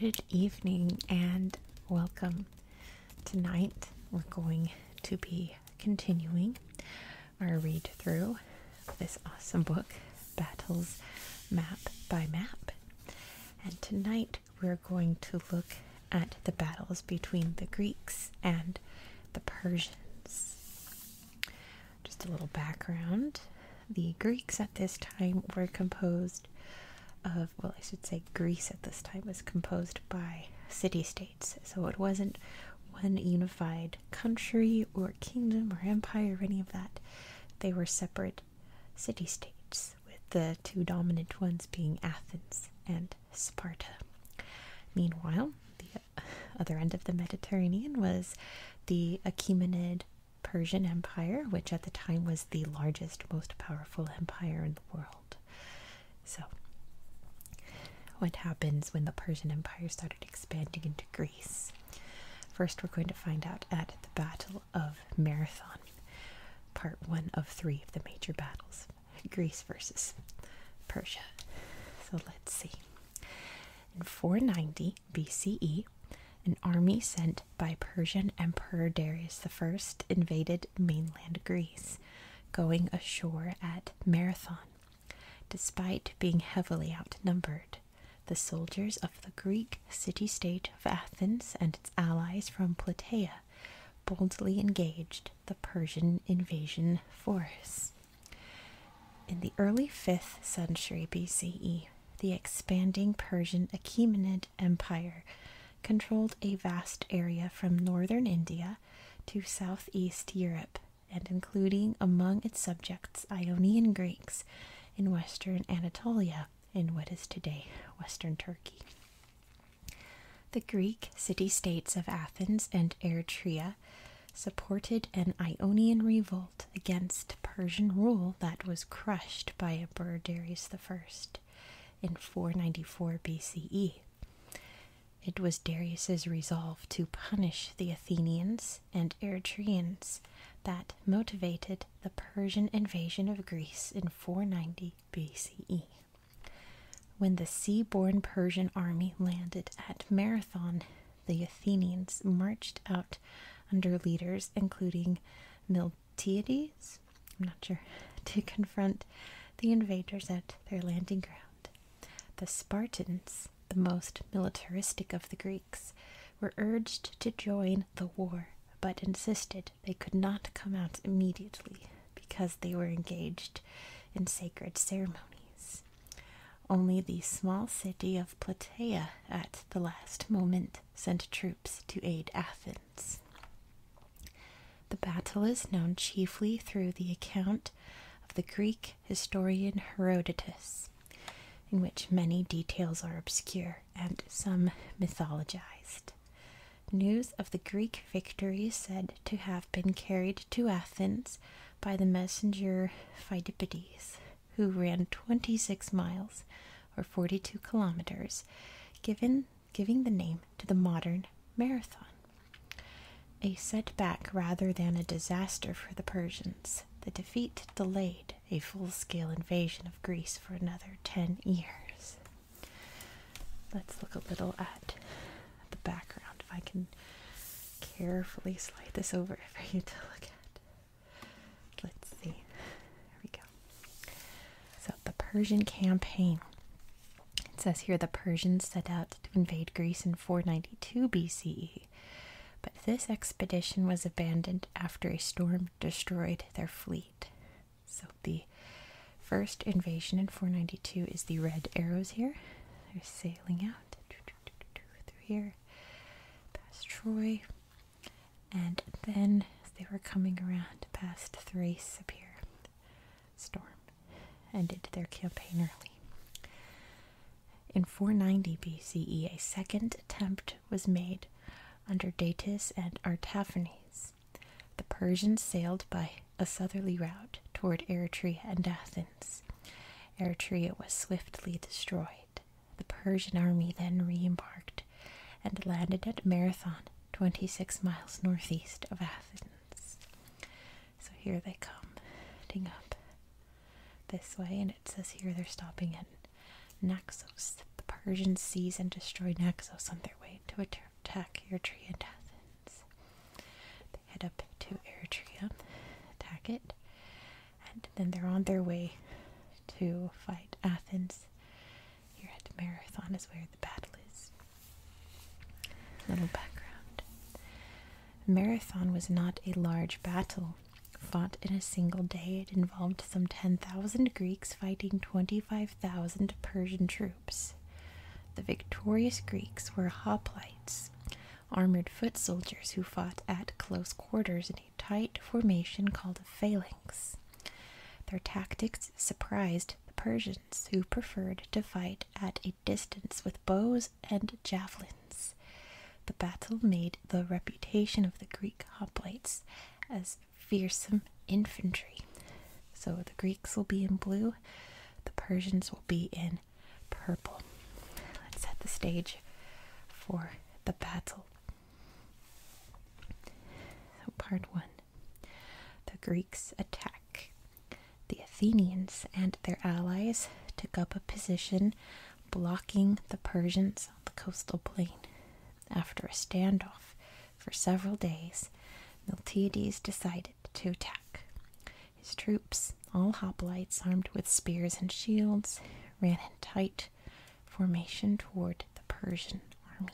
Good evening and welcome. Tonight we're going to be continuing our read through this awesome book, Battles Map by Map. And tonight we're going to look at the battles between the Greeks and the Persians. Just a little background. The Greeks at this time were composed of, well, I should say Greece at this time was composed by city states. So it wasn't one unified country or kingdom or empire or any of that. They were separate city states, with the two dominant ones being Athens and Sparta. Meanwhile, the other end of the Mediterranean was the Achaemenid Persian Empire, which at the time was the largest, most powerful empire in the world. So, what happens when the Persian Empire started expanding into Greece? First, we're going to find out at the Battle of Marathon, part one of three of the major battles. Greece versus Persia. So let's see. In 490 BCE, an army sent by Persian Emperor Darius I invaded mainland Greece, going ashore at Marathon. Despite being heavily outnumbered, the soldiers of the Greek city state of Athens and its allies from Plataea boldly engaged the Persian invasion force. In the early 5th century BCE, the expanding Persian Achaemenid Empire controlled a vast area from northern India to southeast Europe and including among its subjects Ionian Greeks in western Anatolia in what is today western Turkey. The Greek city states of Athens and Eritrea supported an Ionian revolt against Persian rule that was crushed by Emperor Darius I in 494 BCE. It was Darius's resolve to punish the Athenians and Eritreans that motivated the Persian invasion of Greece in 490 BCE. When the sea-born Persian army landed at Marathon, the Athenians marched out under leaders including Miltiades, I'm not sure, to confront the invaders at their landing ground. The Spartans, the most militaristic of the Greeks, were urged to join the war, but insisted they could not come out immediately because they were engaged in sacred ceremonies. Only the small city of Plataea at the last moment sent troops to aid Athens. The battle is known chiefly through the account of the Greek historian Herodotus, in which many details are obscure and some mythologized news of the Greek victory is said to have been carried to Athens by the messenger Pheidippides, who ran 26 miles or 42 kilometers, giving the name to the modern marathon. A setback rather than a disaster for the Persians, the defeat delayed a full scale invasion of Greece for another 10 years. Let's look a little at the background. If I can carefully slide this over for you to look at. Let's see. There we go. So, the Persian campaign. It says here the Persians set out to invade Greece in 492 BCE, but this expedition was abandoned after a storm destroyed their fleet. So the first invasion in 492 is the red arrows here. They're sailing out through here, past Troy, and then they were coming around past Thrace up here, storm ended their campaign early. In 490 BCE, a second attempt was made under Datis and Artaphernes. The Persians sailed by a southerly route toward Eretria and Athens. Eretria was swiftly destroyed. The Persian army then re embarked and landed at Marathon, 26 miles northeast of Athens. So here they come, heading up this way, and it says here they're stopping at Naxos. The Persians seize and destroy Naxos on their way to a attack your Triantathans. They head up to Eritrea, attack it, and then they're on their way to fight Athens. Here at Marathon is where the battle is. Little background. Marathon was not a large battle fought in a single day. It involved some 10,000 Greeks fighting 25,000 Persian troops. The victorious Greeks were hoplites, armored foot soldiers who fought at close quarters in a tight formation called a phalanx. Their tactics surprised the Persians, who preferred to fight at a distance with bows and javelins. The battle made the reputation of the Greek hoplites as fearsome infantry. So the Greeks will be in blue, the Persians will be in purple. Let's set the stage for the battle. So, part one the Greeks attack. The Athenians and their allies took up a position blocking the Persians on the coastal plain. After a standoff, for several days, Miltiades decided to attack. His troops, all hoplites armed with spears and shields, ran in tight formation toward the Persian army.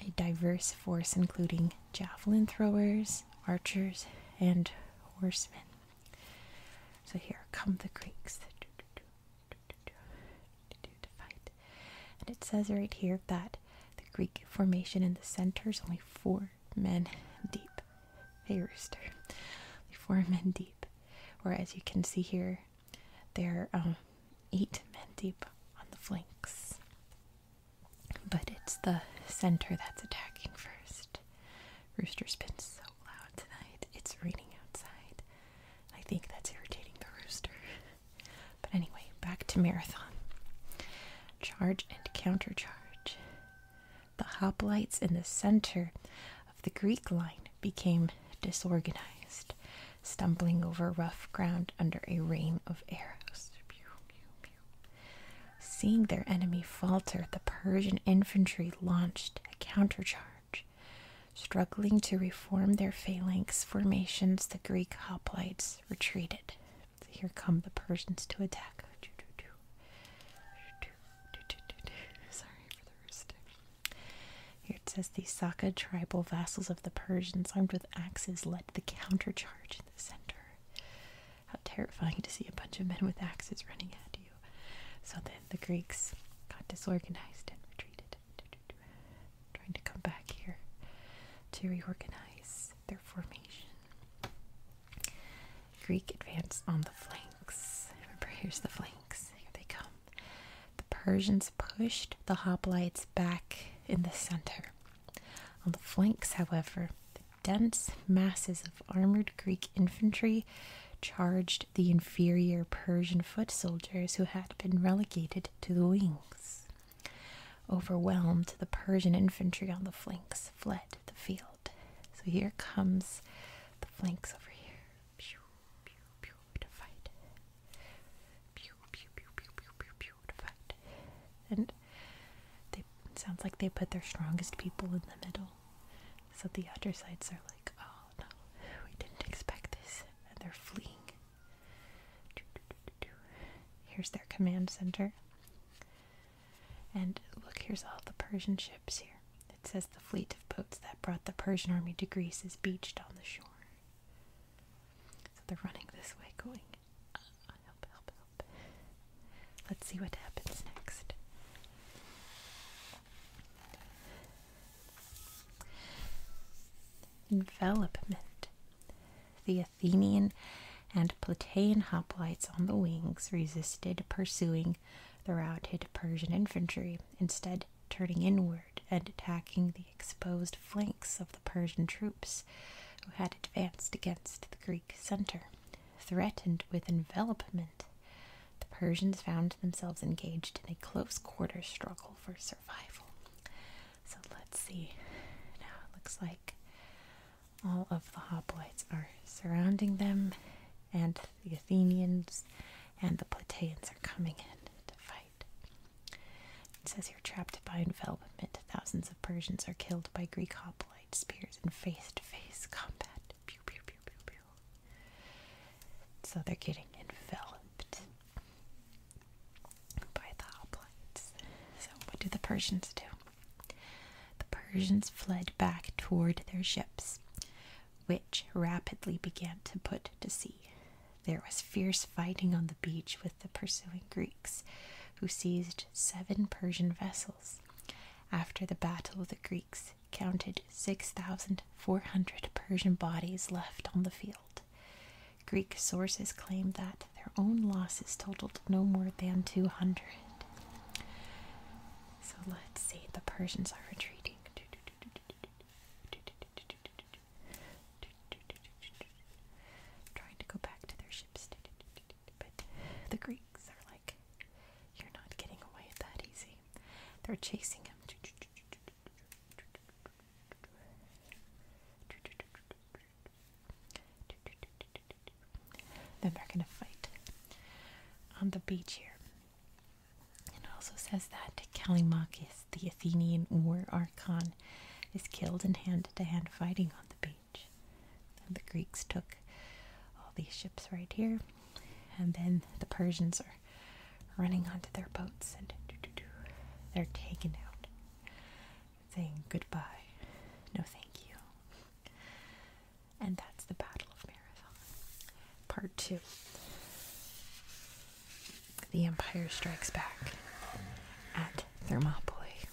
A diverse force, including javelin throwers, archers, and horsemen. So here come the Greeks. And it says right here that the Greek formation in the center is only four men deep. Hey, rooster. four men deep. Whereas you can see here, they're um, eight men deep on the flanks. But it's the center that's attacking first. Rooster's been so loud tonight. It's raining outside. I think that's irritating the rooster. But anyway, back to Marathon. Charge and countercharge. The hoplites in the center of the Greek line became disorganized, stumbling over rough ground under a rain of arrows. Seeing their enemy falter, the Persian infantry launched a countercharge. Struggling to reformed their phalanx formations, the Greek hoplites retreated. here come the Persians to attack. Sorry for the roosting. Here it says the Saka tribal vassals of the Persians, armed with axes, led the countercharge in the center. How terrifying to see a bunch of men with axes running at you. So then the Greeks got disorganized and retreated trying to come back here to reorganize their formation. Greek advance on the flanks. Remember, here's the flanks. Here they come. The Persians pushed the hoplites back in the center. On the flanks, however, the dense masses of armored Greek infantry charged the inferior Persian foot soldiers who had been relegated to the wings. Overwhelmed, the Persian infantry on the flanks fled the field. So here comes the flanks over here. Pew, pew, pew, to fight. Pew, pew, pew, pew, pew, pew, to fight. And they, sounds like they put their strongest people in the middle. So the other sides are like, oh no, we didn't expect this. And they're fleeing. Here's their command center. And look, here's all the Persian ships here. It says the fleet of boats that brought the Persian army to Greece is beached on the shore. So they're running this way, going, ah, Let's see what happens next. Envelopment. The Athenian and Plataean hoplites on the wings resisted pursuing the routed Persian infantry, instead, turning inward and attacking the exposed flanks of the Persian troops who had advanced against the Greek center. Threatened with envelopment, the Persians found themselves engaged in a close quarter struggle for survival. So let's see. Now it looks like all of the hoplites are surrounding them, and the Athenians and the Plataeans are coming in to fight. It says here, trapped by envelopment, thousands of Persians are killed by Greek hoplite spears in face-to-face combat. So they're getting enveloped by the hoplites. So, what do the Persians do? The Persians fled back toward their ships, which rapidly began to put to sea. There was fierce fighting on the beach with the pursuing Greeks, who seized seven Persian vessels. After the battle, the Greeks counted 6,400 Persian bodies left on the field. Greek sources claim that their own losses totaled no more than 200. So let's see, the Persians are retreating. Trying to go back to their ships. But the Greeks are like, you're not getting away that easy. They're chasing them. Then they're gonna fight on the beach here. It also says that Callimachus, the Athenian war archon, is killed in hand-to-hand fighting on the beach. the Greeks took all these ships right here, and then the Persians are running onto their boats and they're taken out, saying goodbye, no thank you. And that's the Battle of Marathon. Part 2 The Empire Strikes Back at Thermopylae.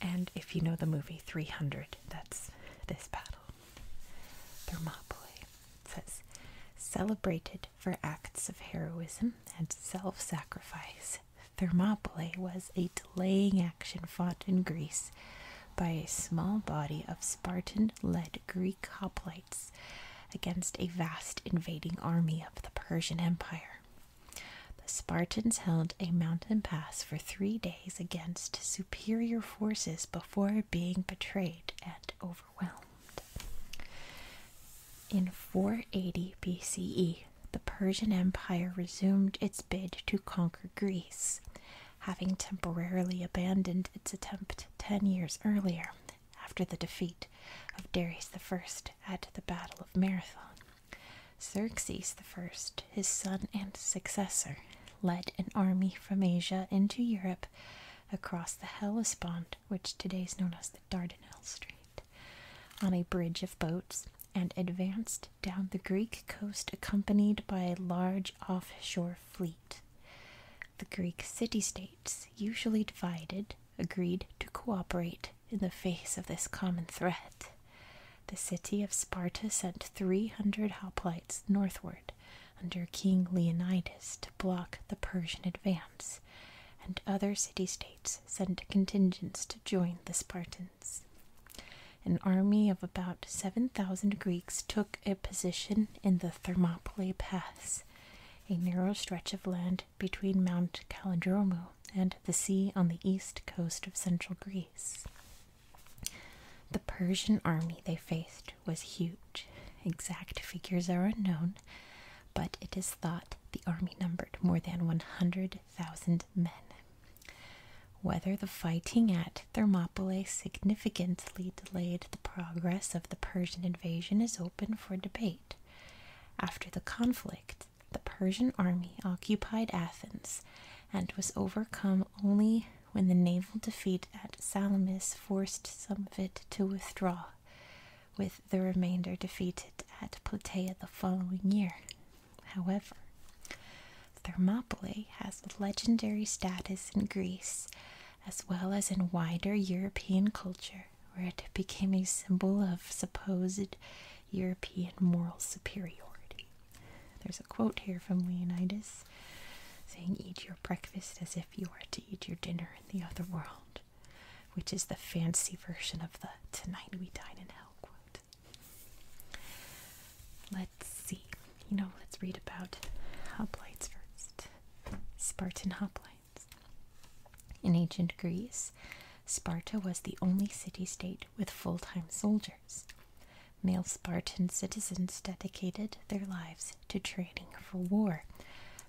And if you know the movie 300, that's this battle. Thermopylae. says, celebrated for acts of heroism and self sacrifice. Thermopylae was a delaying action fought in Greece by a small body of Spartan led Greek hoplites against a vast invading army of the Persian Empire. The Spartans held a mountain pass for three days against superior forces before being betrayed and overwhelmed. In 480 BCE, the Persian Empire resumed its bid to conquer Greece, having temporarily abandoned its attempt ten years earlier after the defeat of Darius I at the Battle of Marathon. Xerxes I, his son and successor, led an army from Asia into Europe across the Hellespont Road, which today is known as the Dardanelles Strait, on a bridge of boats and advanced down the Greek coast accompanied by a large offshore fleet. The Greek city states, usually divided, agreed to cooperate in the face of this common threat. The city of Sparta sent 300 hoplites northward under King Leonidas to block the Persian advance, and other city states sent contingents to join the Spartans. An army of about 7,000 Greeks took a position in the Thermopylae Pass, a narrow stretch of land between Mount Kalidromo and the sea on the east coast of central Greece. The Persian army they faced was huge. Exact figures are unknown, but it is thought the army numbered more than 100,000 men. Whether the fighting at Thermopylae significantly delayed the progress of the Persian invasion is open for debate. After the conflict, the Persian army occupied Athens and was overcome only when the naval defeat at Salamis forced some of it to withdraw with the remainder defeated at Plataea the following year. However, Thermopylae has legendary status in Greece as well as in wider European culture, where it became a symbol of supposed European moral superiority. There's a quote here from Leonidas saying, Eat your breakfast as if." if you are to eat your dinner in the other world, which is the fancy version of the tonight we dine in hell quote. Let's see, you know, let's read about hoplites first. Spartan hoplites. In ancient Greece, Sparta was the only city state with full time soldiers. Male Spartan citizens dedicated their lives to training for war,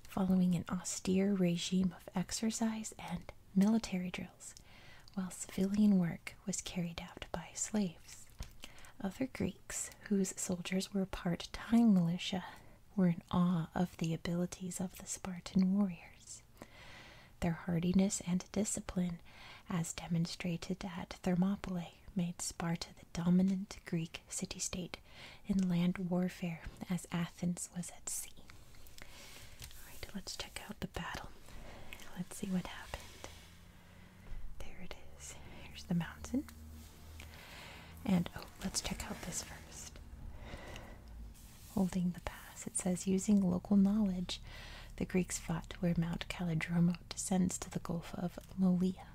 following an austere regime of exercise and military drills, while civilian work was carried out by slaves. Other Greeks, whose soldiers were part time militia, were in awe of the abilities of the Spartan warriors. Their hardiness and discipline, as demonstrated at Thermopylae, made Sparta the dominant Greek city state in land warfare, as Athens was at sea. Alright, let's check out the battle. Let's see what happened. There it is. Here's the mountain. And oh, let's check out this first. Holding the pass, it says using local knowledge, the Greeks fought where Mount Calidromo descends to the Gulf of Molia.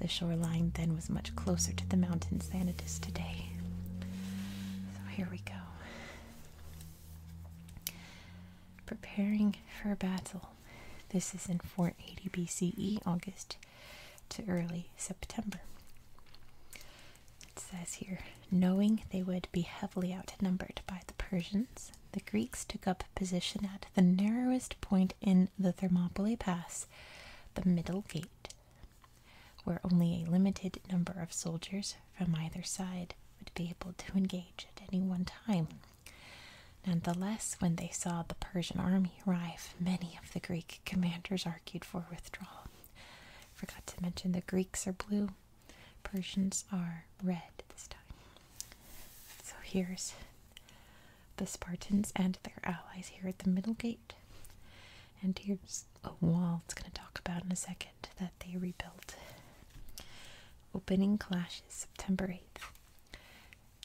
The shoreline then was much closer to the mountains than it is today. So here we go. Preparing for battle. This is in 480 BCE, August to early September. It says here, knowing they would be heavily outnumbered by the Persians, the Greeks took up position at the narrowest point in the Thermopylae Pass, the Middle Gate, where only a limited number of soldiers from either side would be able to engage at any one time. Nonetheless, when they saw the Persian army arrive, many of the Greek commanders argued for withdrawal. Forgot to mention the Greeks are blue, Persians are red this time. So here's the Spartans and their allies here at the Middle Gate. And here's a wall it's going to talk about in a second that they rebuilt. Opening clashes September 8th.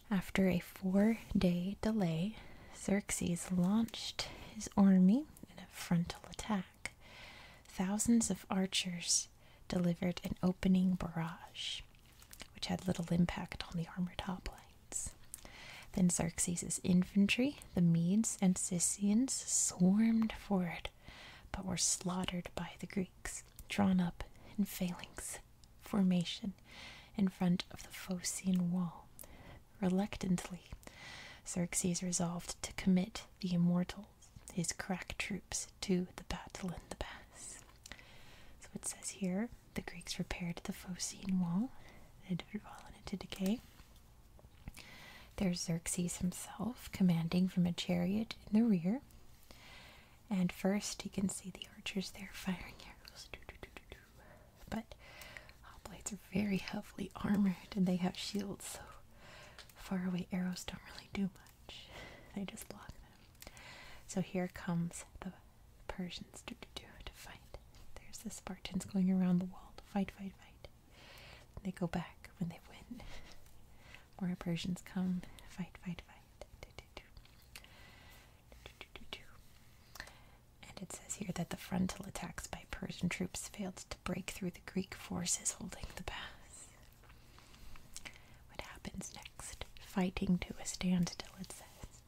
After a four day delay, Xerxes launched his army in a frontal attack. Thousands of archers delivered an opening barrage which had little impact on the armored hoplites. Then Xerxes' infantry, the Medes and Scythians, swarmed forward, but were slaughtered by the Greeks, drawn up in phalanx formation in front of the Phocian wall. Reluctantly, Xerxes resolved to commit the immortals, his crack troops, to the battle in the pass. So it says here the Greeks repaired the Phocian wall that had fallen into decay. There's Xerxes himself commanding from a chariot in the rear. And first, you can see the archers there firing arrows. But hoplites oh, are very heavily armored and they have shields, so far away arrows don't really do much. They just block them. So here comes the the Persians do, do, do, to fight. There's the Spartans going around the wall to fight, fight, fight. They go back when they win. More Persians come, fight, fight, fight. Do, do, do. Do, do, do, do. And it says here that the frontal attacks by Persian troops failed to break through the Greek forces holding the pass. What happens next? Fighting to a standstill, it says.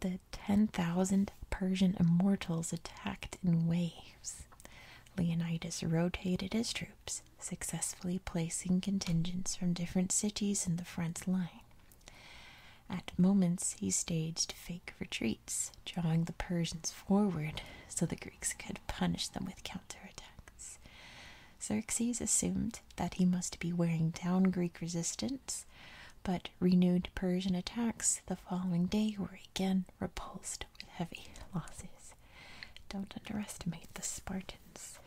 The 10,000 Persian immortals attacked in waves. Leonidas rotated his troops, successfully placing contingents from different cities in the front line. At moments, he staged fake retreats, drawing the Persians forward so the Greeks could punish them with counterattacks. Xerxes assumed that he must be wearing down Greek resistance, but renewed Persian attacks the following day were again repulsed with heavy losses. Don't underestimate the Spartans.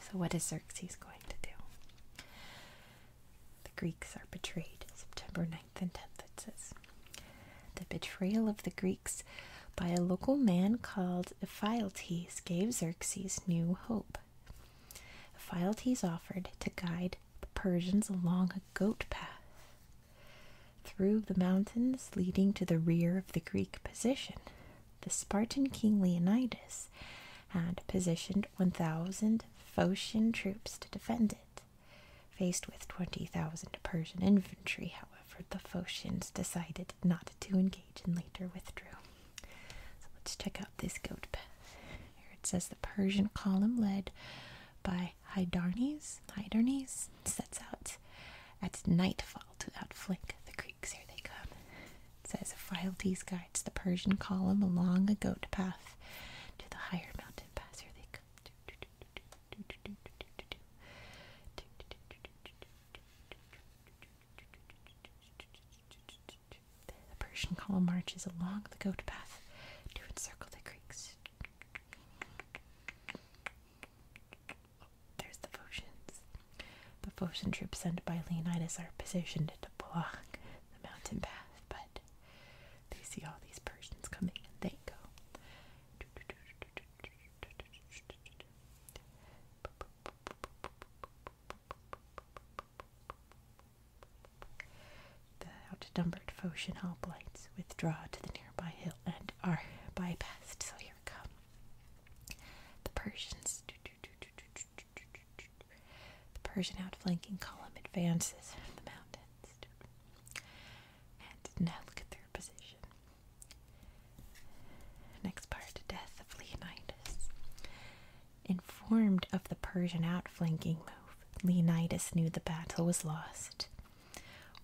So, what is Xerxes going to do? The Greeks are betrayed September 9th and 10th, it says. The betrayal of the Greeks by a local man called Ephialtes gave Xerxes new hope. Ephialtes offered to guide the Persians along a goat path through the mountains leading to the rear of the Greek position. The Spartan king Leonidas had positioned 1,000 Phocian troops to defend it. Faced with 20,000 Persian infantry, however, the Phocians decided not to engage and later withdrew. So let's check out this goat path. Here it says the Persian column led by Hydarnes, Hydarnes sets out at nightfall to outflank the Greeks. Here they come. It says Phildes guides the Persian column along a goat path to the higher mountain pass. Here they come. The Persian column marches along the goat path to encircle the creeks. there's the Phocians. The Phocian troops sent by Leonidas are positioned to block the mountain path, but they see all these Persians coming and they go. The outnumbered Foshan hoplites withdraw to the nearby hill and are bypassed. So here we come. The Persians. The Persian outflanking column advances from the mountains. And now look at their position. Next part Death of Leonidas. Informed of the Persian outflanking move, Leonidas knew the battle was lost.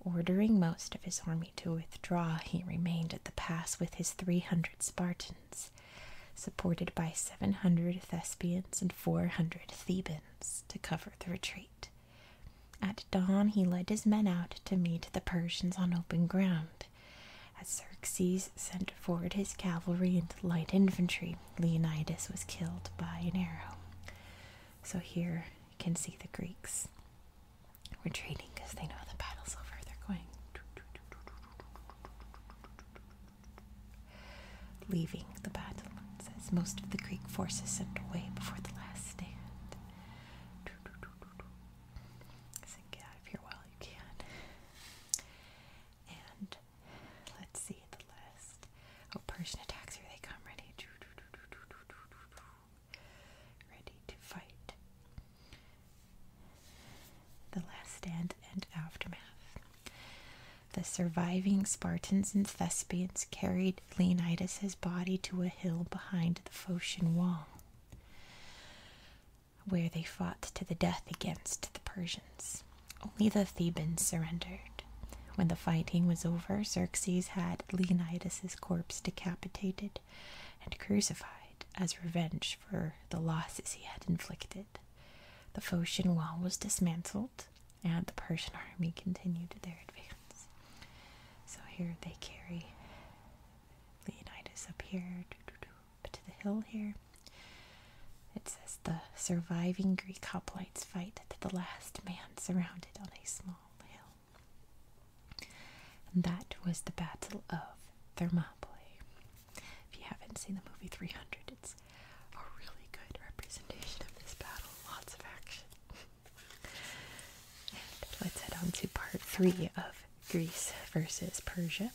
Ordering most of his army to withdraw, he remained at the pass with his 300 Spartans, supported by 700 Thespians and 400 Thebans, to cover the retreat. At dawn, he led his men out to meet the Persians on open ground. As Xerxes sent forward his cavalry and light infantry, Leonidas was killed by an arrow. So here you can see the Greeks retreating because they know the battle's over. They're going, leaving the battle. as most of the Greek forces sent away before the last stand. So get out of here while you can. And let's see the list. Oh, Persian attacks, here they come, ready. Ready to fight. The Last Stand and Aftermath. The surviving Spartans and Thespians carried Leonidas' body to a hill behind the Phocian wall where they fought to the death against the Persians. Only the Thebans surrendered. When the fighting was over, Xerxes had Leonidas's corpse decapitated and crucified as revenge for the losses he had inflicted. The Phocian wall was dismantled, and the Persian army continued their advance. So here they carry Leonidas up here, but to the hill here. It says the surviving Greek hoplites fight to the last man surrounded on a small hill. And that was the Battle of Thermopylae. If you haven't seen the movie 300, it's a really good representation of this battle. Lots of action. let's head on to part three of Greece versus Persia,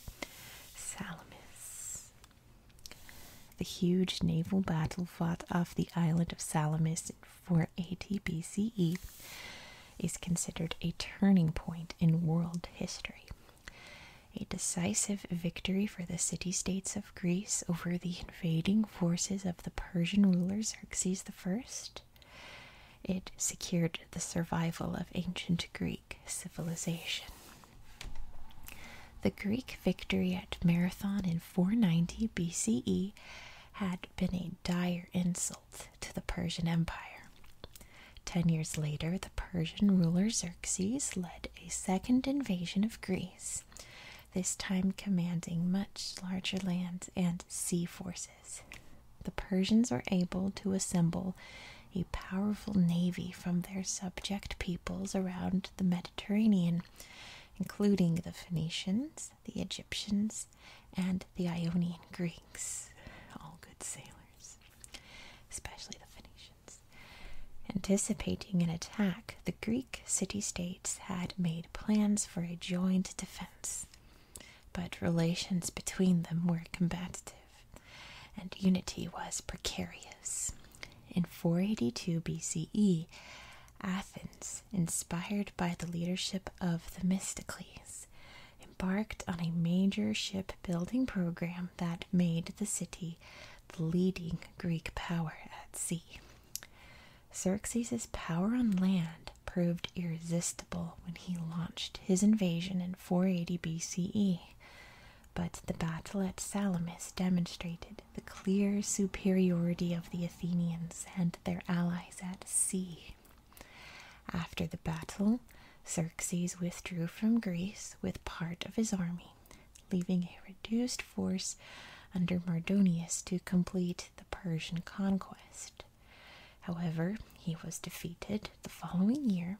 Salamis. The huge naval battle fought off the island of Salamis in 480 BCE is considered a turning point in world history. A decisive victory for the city states of Greece over the invading forces of the Persian ruler Xerxes I it secured the survival of ancient Greek civilization. The Greek victory at Marathon in 490 BCE had been a dire insult to the Persian Empire. Ten years later, the Persian ruler Xerxes led a second invasion of Greece, this time commanding much larger land and sea forces the Persians were able to assemble a powerful navy from their subject peoples around the Mediterranean, including the Phoenicians, the Egyptians, and the Ionian Greeks, all good sailors, especially the Phoenicians. Anticipating an attack, the Greek city states had made plans for a joint defense but relations between them were combative, and unity was precarious. In 482 BCE, Athens, inspired by the leadership of Themistocles, embarked on a major shipbuilding program that made the city the leading Greek power at sea. Xerxes's power on land proved irresistible when he launched his invasion in 480 BCE, but the battle at Salamis demonstrated the clear superiority of the Athenians and their allies at sea. After the battle, Xerxes withdrew from Greece with part of his army, leaving a reduced force under Mardonius to complete the Persian conquest. However, he was defeated the following year,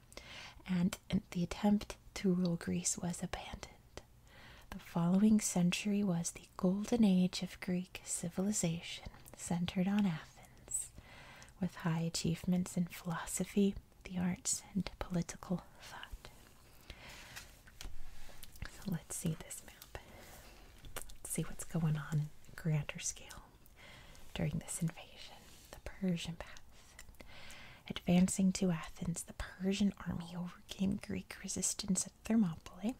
and the attempt to rule Greece was abandoned. The following century was the golden age of Greek civilization, centered on Athens, with high achievements in philosophy, the arts, and political thought. So let's see this map. Let's see what's going on grander scale during this invasion. The Persian path. Advancing to Athens, the Persian army overcame Greek resistance at Thermopylae,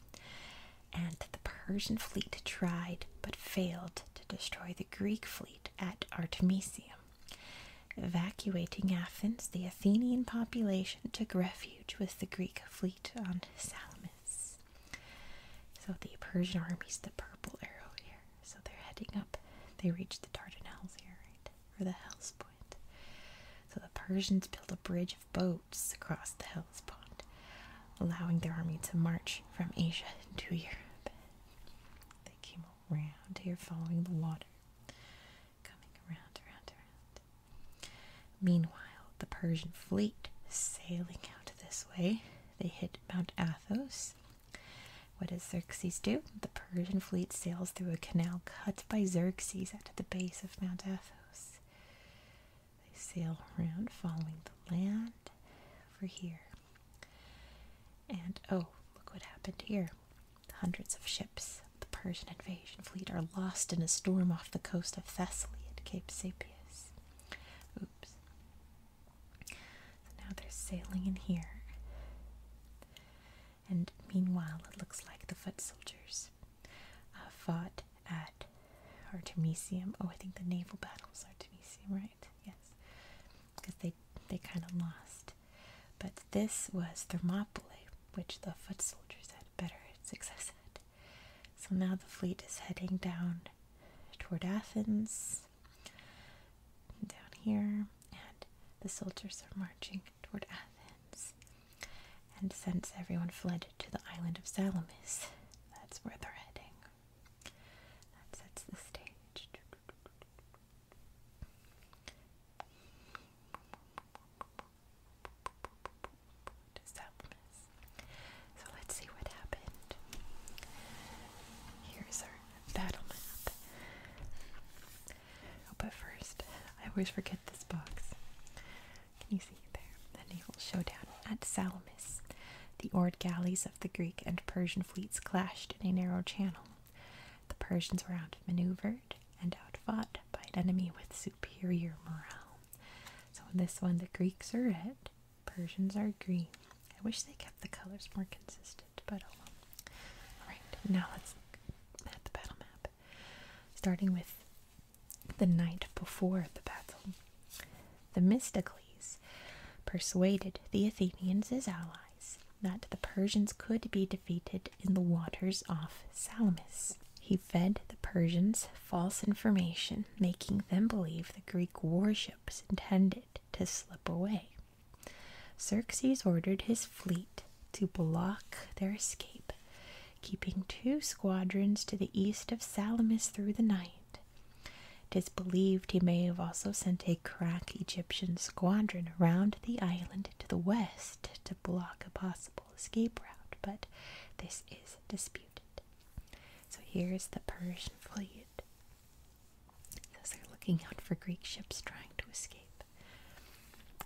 and the Persian fleet tried but failed to destroy the Greek fleet at Artemisium. Evacuating Athens, the Athenian population took refuge with the Greek fleet on Salamis. So the Persian army is the purple arrow here. So they're heading up. They reach the Dardanelles here, right? Or the Hellespont. So the Persians built a bridge of boats across the Hellespont, allowing their army to march from Asia into Europe. They came around here following the water. Coming around, around, around. Meanwhile, the Persian fleet sailing out this way, they hit Mount Athos. What does Xerxes do? The Persian fleet sails through a canal cut by Xerxes at the base of Mount Athos. They sail around following the land over here. And oh, look what happened here. Hundreds of ships of the Persian invasion fleet are lost in a storm off the coast of Thessaly at Cape Sapias. Oops. So now they're sailing in here. And meanwhile, it looks like the foot soldiers uh, fought at Artemisium. Oh, I think the naval battle was Artemisium, right? Yes. Because they, they kind of lost. But this was Thermopylae, which the foot soldiers had better success at. So now the fleet is heading down toward Athens, down here, and the soldiers are marching toward Athens. And since everyone fled to the island of Salamis, that's where they're heading. That sets the stage. What is that So let's see what happened. Here's our battle map. Oh, but first, I always forget this box. Can you see it there? The naval showdown at Salamis. The oared galleys of the Greek and Persian fleets clashed in a narrow channel. The Persians were outmaneuvered and outfought by an enemy with superior morale. So in this one, the Greeks are red, Persians are green. I wish they kept the colors more consistent, but oh Alright, now let's look the battle map. Starting with the night before the battle, Themistocles persuaded the Athenians, his allies, that the Persians could be defeated in the waters off Salamis. He fed the Persians false information, making them believe the Greek warships intended to slip away. Xerxes ordered his fleet to block their escape, keeping two squadrons to the east of Salamis through the night. Tis believed he may have also sent a crack Egyptian squadron around the island to the west to block a possible escape route, but this is disputed. So here's the Persian fleet. they're looking out for Greek ships trying to escape.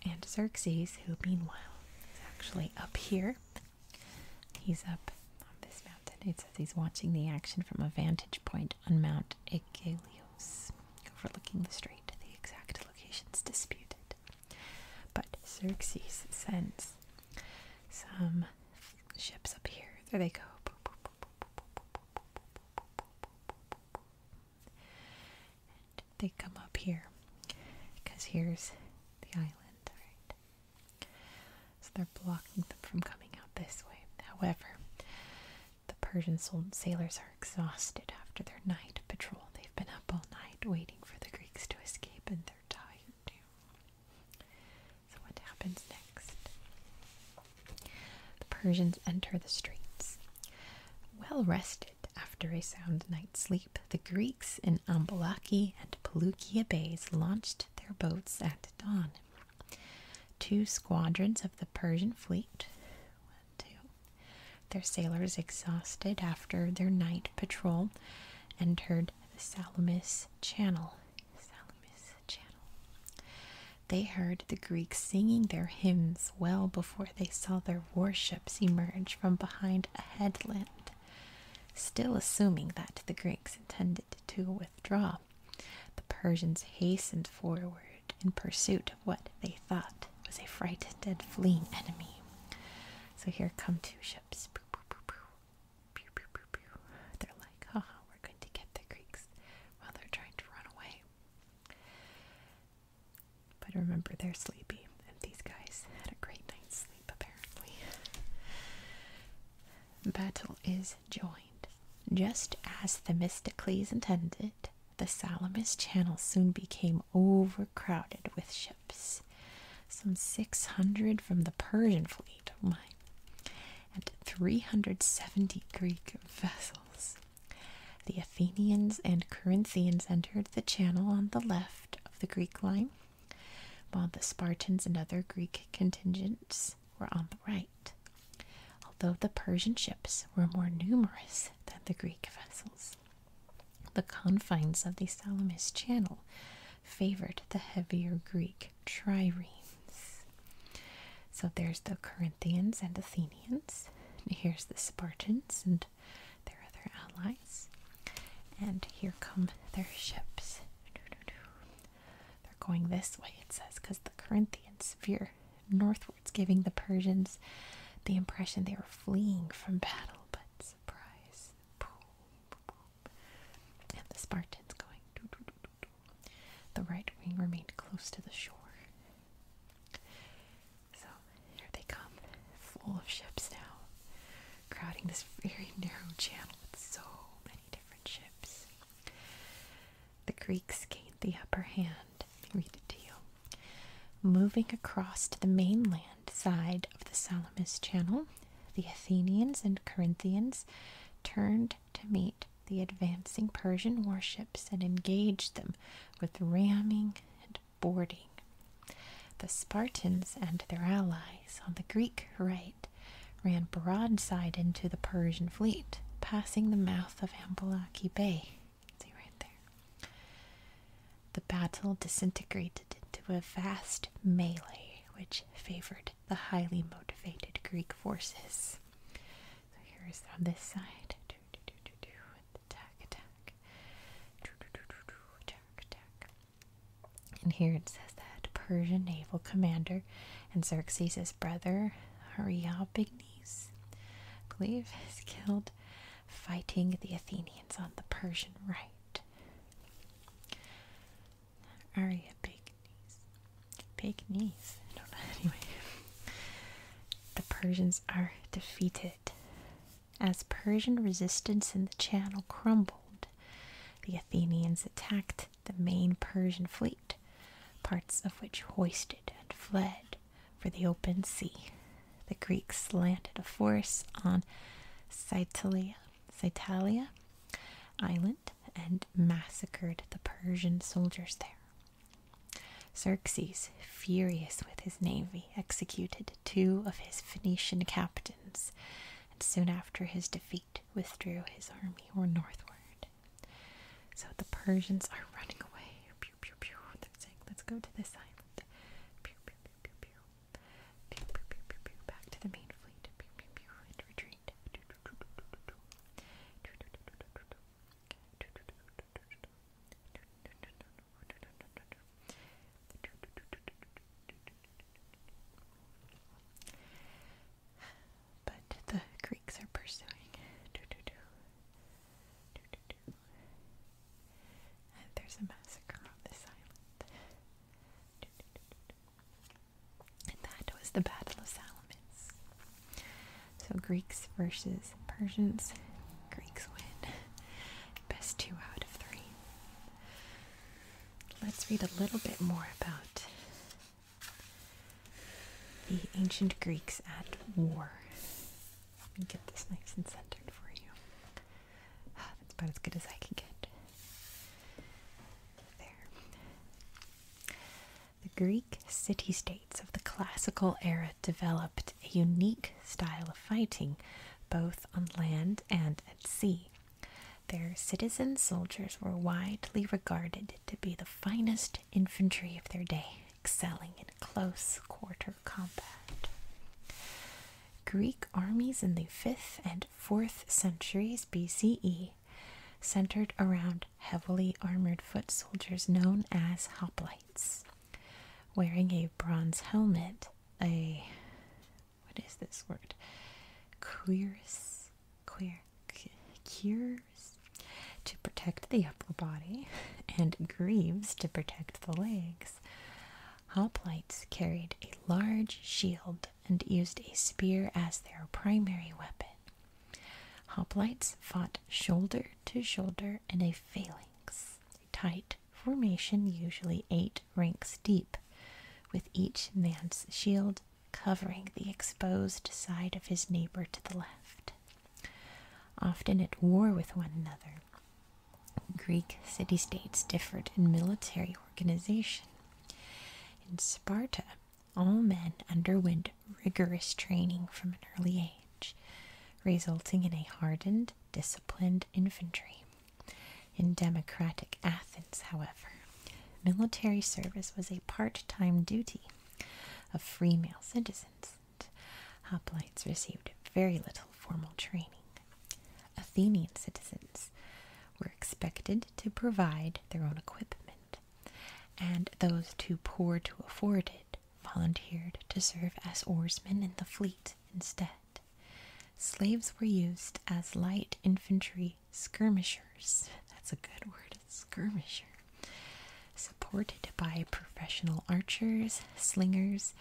And Xerxes, who meanwhile is actually up here, he's up on this mountain. It says he's watching the action from a vantage point on Mount Aegaleos, overlooking the strait. The exact location's disputed. But Xerxes sends some ships up here. There they go. they come up here because here's the island, right? So they're blocking them from coming out this way. However, the Persian sailors are exhausted after their night patrol. They've been up all night waiting for the Greeks to escape and they're tired. So what happens next? The Persians enter the streets. Well rested after a sound night's sleep, the Greeks in Ambalaki and Seleucia bays launched their boats at dawn. Two squadrons of the Persian fleet, their sailors exhausted after their night patrol entered the Salamis Channel. They heard the Greeks singing their hymns well before they saw their warships emerge from behind a headland. Still assuming that the Greeks intended to withdraw, the Persians hastened forward in pursuit of what they thought was a frightened and fleeing enemy. So here come two ships. They're like, haha, we're going to get the Greeks while they're trying to run away. But remember, they're sleepy, and these guys had a great night's sleep, apparently. Battle is joined. Just as Themistocles intended, the Salamis Channel soon became overrun Crowded with ships, some 600 from the Persian fleet, oh my, and 370 Greek vessels. The Athenians and Corinthians entered the channel on the left of the Greek line, while the Spartans and other Greek contingents were on the right, although the Persian ships were more numerous than the Greek vessels. The confines of the Salamis Channel favored the heavier Greek triremes. So there's the Corinthians and Athenians. here's the Spartans and their other allies. And here come their ships. They're going this way, it says, because the Corinthians veer northwards, giving the Persians the impression they are fleeing from battle. But surprise, and the Spartans going. The right wing remained close to the shore. So here they come, full of ships now, crowding this very narrow channel with so many different ships. The Greeks gained the upper hand. Read it to Moving across to the mainland, side of the Salamis Channel, the Athenians and Corinthians turned to meet the advancing Persian warships and engaged them with ramming and boarding. The Spartans and their allies on the Greek right ran broadside into the Persian fleet, passing the mouth of Ambalaki Bay. See right there. The battle disintegrated into a vast melee, which favored the highly motivated Greek forces. So here is on this side. Attack, attack. Attack, attack. And here it says that Persian naval commander and Xerxes' brother, Ariobanes, I believe, is killed fighting the Athenians on the Persian right. Aria Pagnes. Anyway. The Persians are defeated. As Persian resistance in the channel crumbled, the Athenians attacked the main Persian fleet, parts of which hoisted and fled for the open sea. The Greeks landed a force on Cytalia, Cytalia Island and massacred the Persian soldiers there. Xerxes, furious with his navy, executed two of his Phoenician captains and soon after his defeat withdrew his army northward. So the Persians are running away. They're saying, let's go to this island. Back to the main fleet. Pew, But the Greeks are pursuing. And there's a massacre on this island. And that was the Battle of Salamis. So Greeks versus Persians. Greeks win. Best two out of three. Let's read a little bit more about the ancient Greeks at war. Let me get this nice and centered for you. Ah, that's about as good as I can get. There. The Greek city states of the classical era developed a unique style of fighting, both on land and at sea. Their citizen soldiers were widely regarded to be the finest infantry of their day, excelling in close quarter combat. Greek armies in the 5th and 4th centuries BCE centered around heavily armored foot soldiers known as hoplites, wearing a bronze helmet, a what is this word? Cuirass, queer, cuirass to protect the upper body, and greaves to protect the legs. Hoplites carried a large shield and used a spear as their primary weapon. Hoplites fought shoulder to shoulder in a phalanx, a tight formation usually eight ranks deep, with each man's shield covering the exposed side of his neighbor to the left. Often at war with one another, Greek city states differed in military organization. In Sparta, all men underwent rigorous training from an early age, resulting in a hardened, disciplined infantry. In democratic Athens, however, military service was a part time duty of free male citizens hoplites received very little formal training. Athenian citizens were expected to provide their own equipment, and those too poor to afford it volunteered to serve as oarsmen in the fleet instead. Slaves were used as light infantry skirmishers. That's a good word, skirmisher. Supported by professional archers, slingers,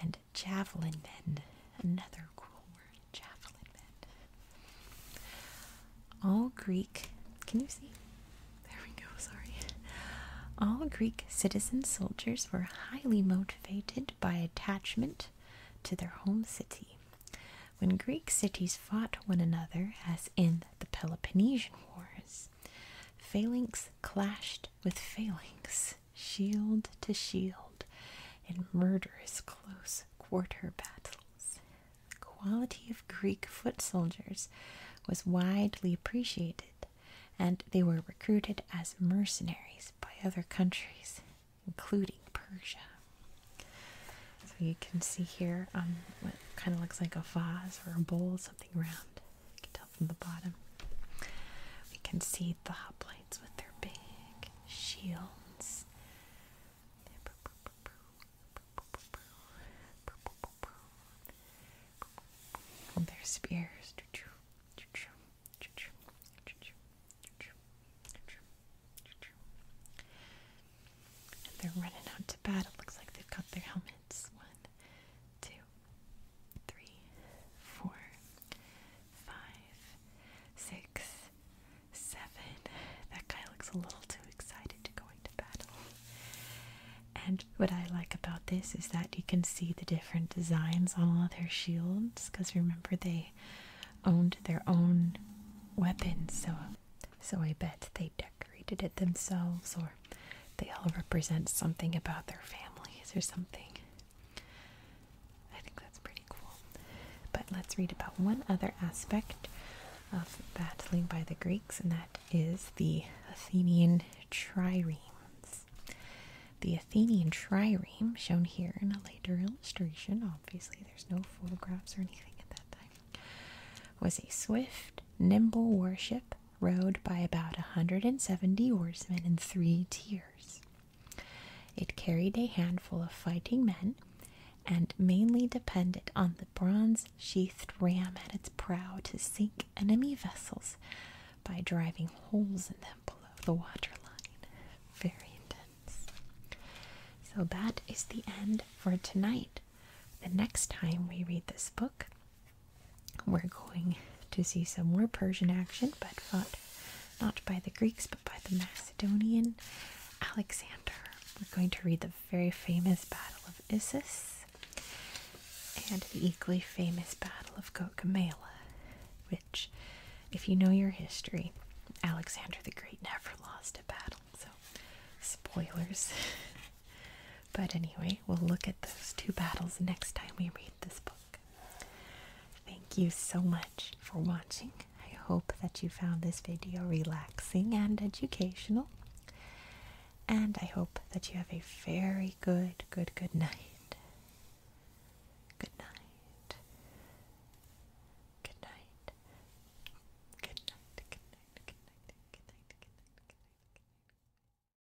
and javelin bend, Another cool word, javelin men. All Greek, can you see? There we go, sorry. All Greek citizen soldiers were highly motivated by attachment to their home city. When Greek cities fought one another, as in the Peloponnesian Wars, phalanx clashed with phalanx, shield to shield in murderous close quarter battles. The quality of Greek foot soldiers was widely appreciated, and they were recruited as mercenaries by other countries, including Persia. So you can see here um, what kind of looks like a vase or a bowl, something round. You can tell from the bottom. We can see the hoplites with their big shields. And their spears. And they're running out to battle. Looks like they've got their helmets. on two, three, four, five, six, seven. That guy looks a little too excited to go into battle. And what I like about this is that you can see the different designs on all their shields because remember they owned their own weapons so so I bet they decorated it themselves or they all represent something about their families or something. I think that's pretty cool. But let's read about one other aspect of battling by the Greeks, and that is the Athenian triremes. The Athenian trireme, shown here in a later illustration, obviously there's no photographs or anything at that time, was a swift, nimble warship rowed by about a 170 oarsmen in three tiers. It carried a handful of fighting men and mainly depended on the bronze sheathed ram at its prow to sink enemy vessels by driving holes in them below the waterline. Very intense. So that is the end for tonight. The next time we read this book, we're going to see some more Persian action, but fought not by the Greeks but by the Macedonian Alexander. We're going to read the very famous Battle of Issus and the equally famous Battle of Gaugamela, which, if you know your history, Alexander the Great never lost a battle, so spoilers. but anyway, We'll look at those two battles next time we read this book. Thank you so much for watching. I hope that you found this video relaxing and educational. And I hope that you have a very good, good, Good night. Good night. Good night. Good night. Good night. Good night. Good night. Good night. Good night.